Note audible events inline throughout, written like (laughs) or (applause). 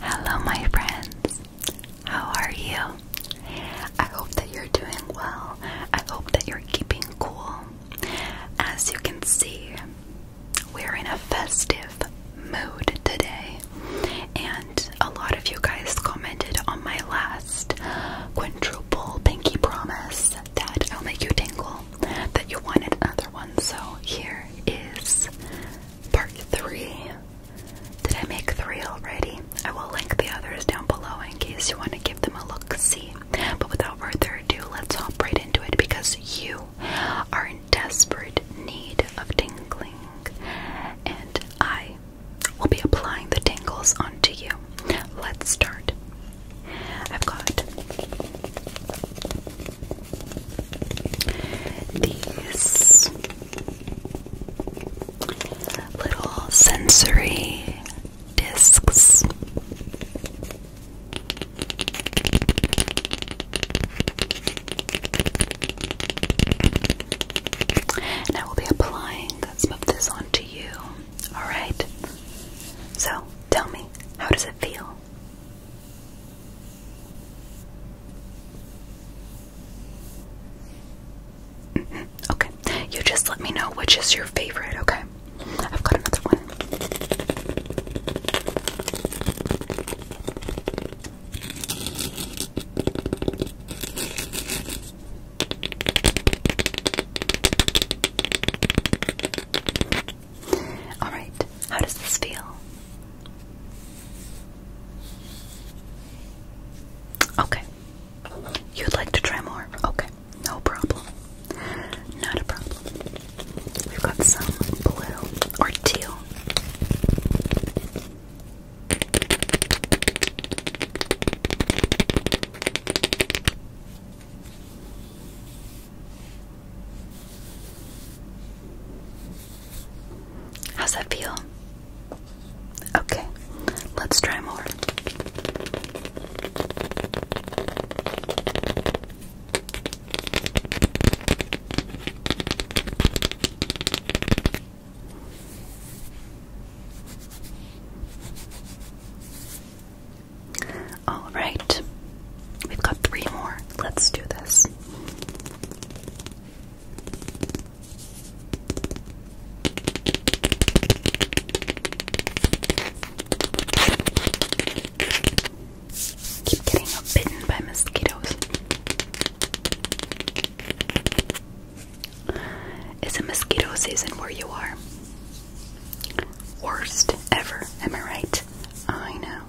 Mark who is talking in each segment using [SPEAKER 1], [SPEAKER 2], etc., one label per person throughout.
[SPEAKER 1] Hello, my friends. How are you? I hope that you're doing well. I hope that you're keeping cool. As you can see, we're in a festive mood today, and a lot of you guys commented on my last quadruple pinky promise that I'll make you tingle, that you wanted another one. So here is part three. Did I make three already? I will link the others down below in case you want to give them a look see. But without further ado, let's hop right into it because you are in desperate need of tingling. And I will be applying the tingles onto you. Let's start. I've got these little sensory discs. And I will be applying some of this onto you. Alright? So, tell me, how does it feel? Okay, you just let me know which is your favorite, okay? I've got another one. Alright, how does this feel? Okay. You'd like to try more? Okay, no problem. Not a problem. We've got some blue or teal. How's that feel? Okay, let's try more. All right, we've got three more. Let's do this. Keep getting bitten by mosquitoes. Is it mosquito season where you are? Worst ever, am I right? I know.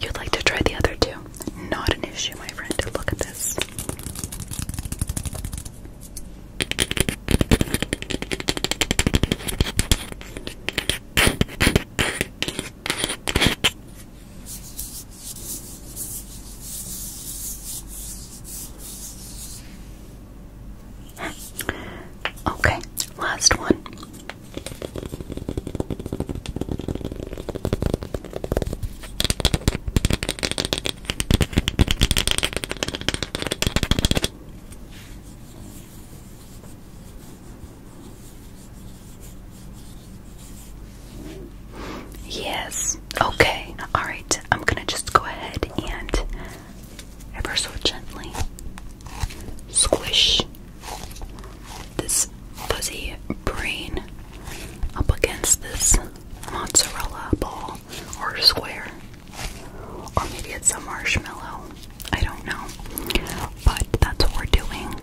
[SPEAKER 1] You'd like to try the other two? Not an issue, my friend. Look at this. Okay, last one. Yes, Okay, alright. I'm gonna just go ahead and ever so gently squish this fuzzy brain up against this mozzarella ball or square. Or maybe it's a marshmallow. I don't know. But that's what we're doing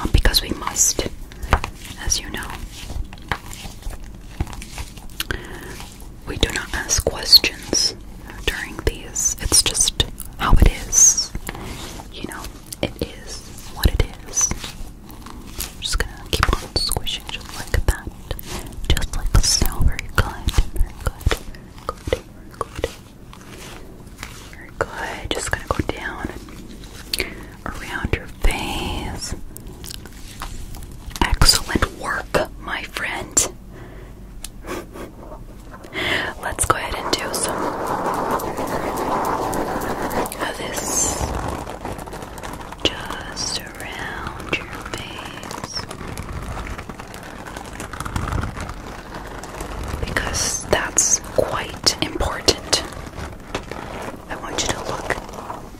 [SPEAKER 1] um, because we must, as you know. We do not ask questions during these. It's just how it is. You know, it is what it just gonna keep on squishing just like that. Just like so. Very good. Very good. Good. Very good. Very good. Just gonna go down around your face. Excellent work, my friend. Let's go ahead and do some of this just around your face because that's quite important. I want you to look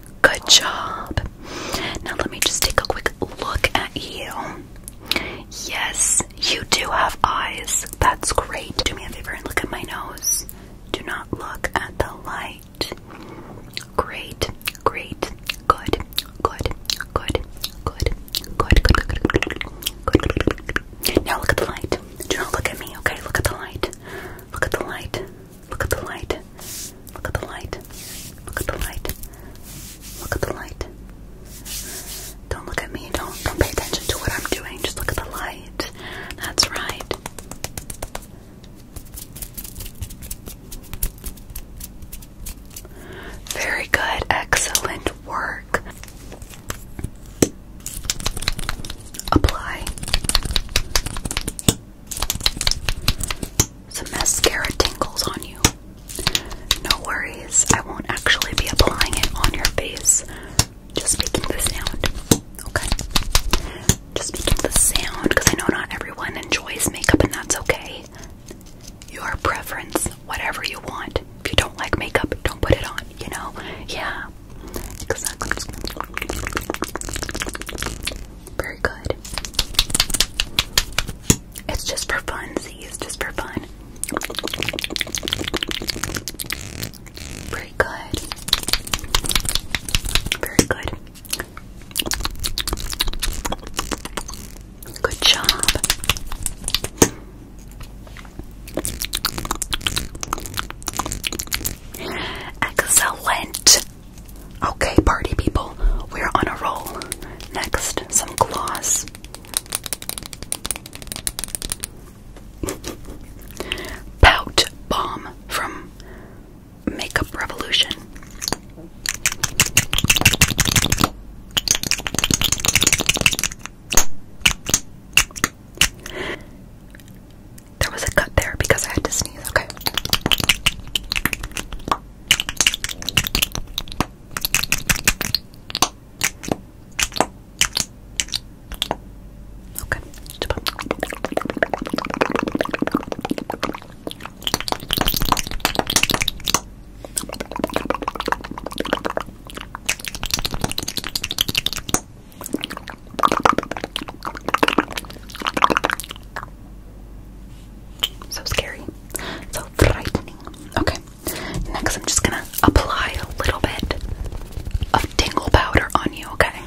[SPEAKER 1] Good job. Now let me just take a quick look at you. Yes, you do have eyes. That's great. Do me a favor and look at my nose. Do not look at the light. Great, great, good, good, good, good, good, good, good, good, good, good. Now look at the light. Do not look at me, okay? Look at the light. Look at the light. Look at the light. Look at the light. Look at the light. Look at the light. Don't look at me. Don't don't pay attention to what I'm doing. Just look at the light. That's right. Very good. Excellent work. Apply. The mascara tingles on you. No worries, I won't actually be applying it on your face. Just making the sound. Okay? Just making the sound because I know not everyone enjoys makeup and that's okay. Your preference, whatever you want. If you don't like makeup, don't put it on, you know? Yeah. Exactly. Very good. It's just for fun, see, it's just for fun. Very good. Very good. Good job. Excellent. Okay, party people, we're on a roll. Next, some gloss. (laughs) Pout Bomb from Makeup Revolution. There was a cut there because I had to sneeze, okay? Okay. So scary. So frightening. Okay. Next, I'm just gonna apply a little bit of tingle powder on you, okay?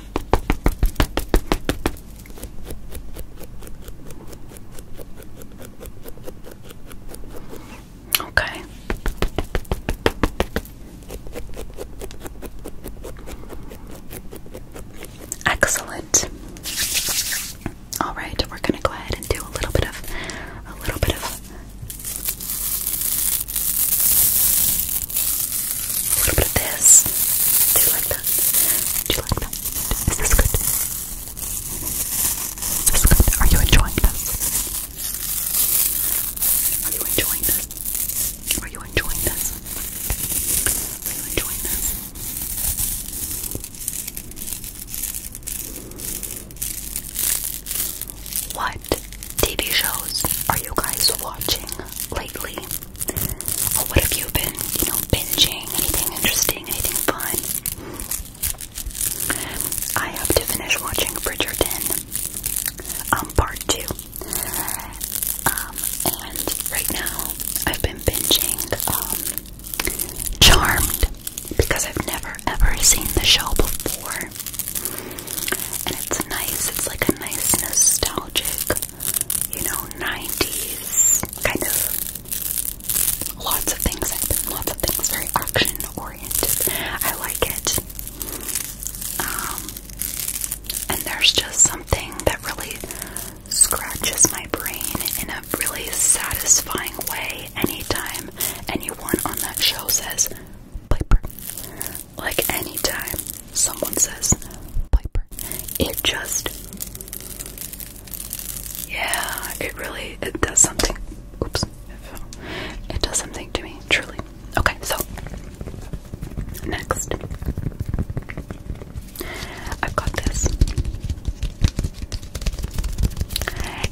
[SPEAKER 1] Okay. Excellent. All right, we're going to go ahead and do a little bit of a little bit of a little bit of this. Do you like that? Do you like that? Is this good? Is this good? Are you enjoying this? Are you enjoying this? Are you enjoying this? What TV shows are you guys watching lately? what have you been, you know, binging? Anything interesting? Anything fun? I have to finish watching Bridgerton, I'm um, part two. Um, and right now I've been binging um, because I've never ever seen the show before. And it's nice, it's like a nice nostalgic, you know, 90s kind of lots of things lots of things very action oriented. I like it. Um, and there's just something that really scratches my brain in a really satisfying way anytime anyone on that show says Piper. Like anytime someone says Piper. It just Yeah, it really it does something. Oops. It does something to me, truly. Okay, so next I've got this.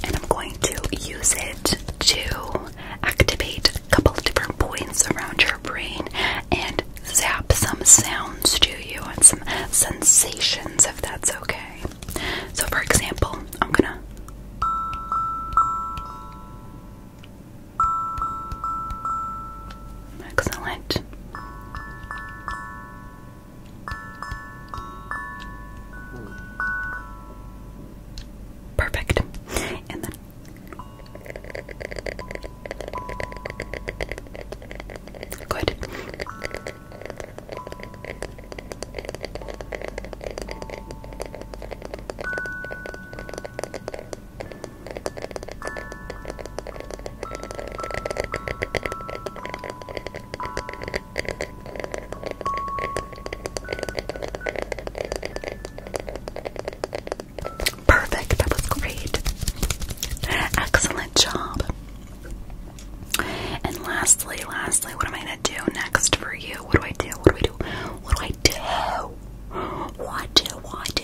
[SPEAKER 1] And I'm going to use it to activate a couple of different points around your brain and zap some sounds to you and some sensations if that's okay. So, for example, I'm gonna. Excellent. Perfect. And then Good. Perfect, that was great. Excellent job. And lastly, lastly, what am I gonna do next for you? What do I do? What do I do? What do I do? What do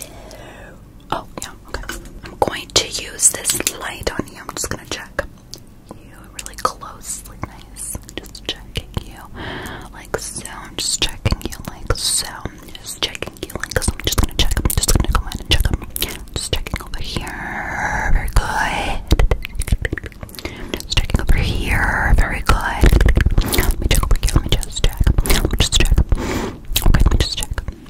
[SPEAKER 1] I do? Oh, yeah, okay. I'm going to use this light on you. I'm just gonna check you really closely, nice. Just checking you like so. I'm just checking you like so. Just checking you like so. I'm just gonna check. I'm just gonna go ahead and check them. Just checking over here. Very good. Just checking over here. Very good. Let me check over here. Let me just check. Let me just check. Okay, let me just check.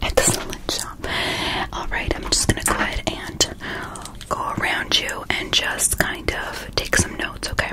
[SPEAKER 1] at the salon shop. Alright, I'm just gonna go ahead and go around you and just kind of take some notes, okay?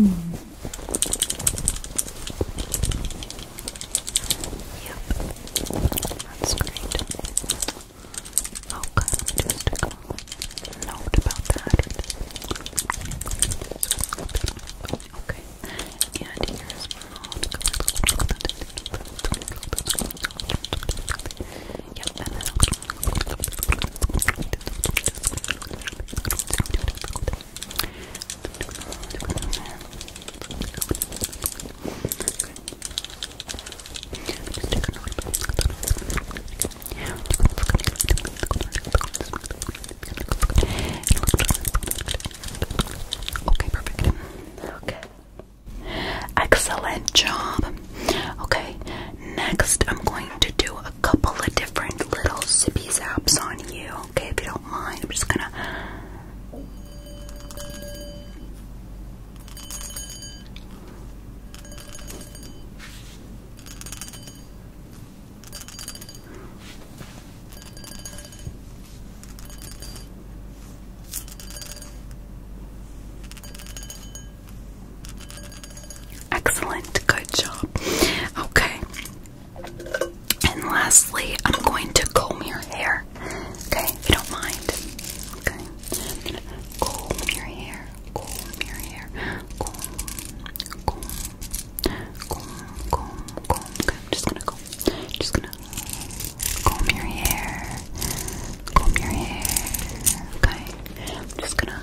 [SPEAKER 1] Mm. Yep, that's great. Okay, oh, just a note about that. Okay, and here's Yep, and then Okay, perfect. Okay. Excellent job. Okay, next I'm going to do a couple of different little sippy zaps on you. Okay, if you don't mind, I'm just gonna. Excellent, good job. Okay. And lastly, I'm going to comb your hair. Okay, you don't mind. Okay. I'm comb your hair, comb your hair, comb, comb, comb. Okay, I'm just gonna comb. Just gonna comb your hair. Comb your hair. Okay. I'm just gonna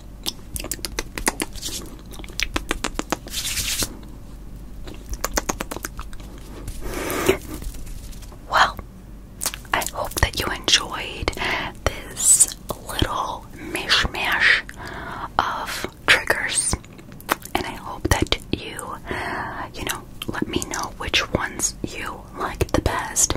[SPEAKER 1] Well, I hope that you enjoyed this little mishmash of triggers, and I hope that you, you know, let me know which ones you liked the best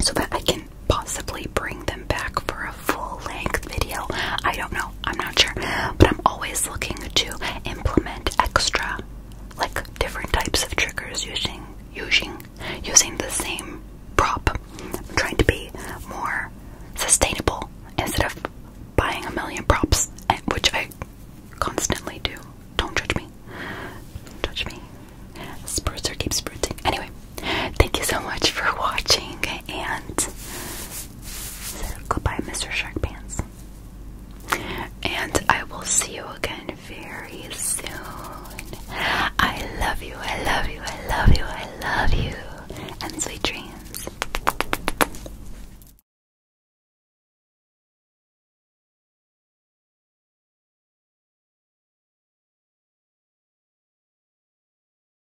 [SPEAKER 1] so that I can possibly bring them back for a full length video. I don't know, I'm not sure, but I'm always looking to implement extra, like different types of triggers using using using the same prop. trying to be more sustainable instead of buying a million props, eh, which I constantly do. Don't judge me. Don't judge me. Spritzer keeps spritzing. Anyway, thank you so much for (laughs) watching and goodbye, Mr. Shark Pants. And I will see you again very soon. I love you, I love you, I love you, I love you. And sweet dreams.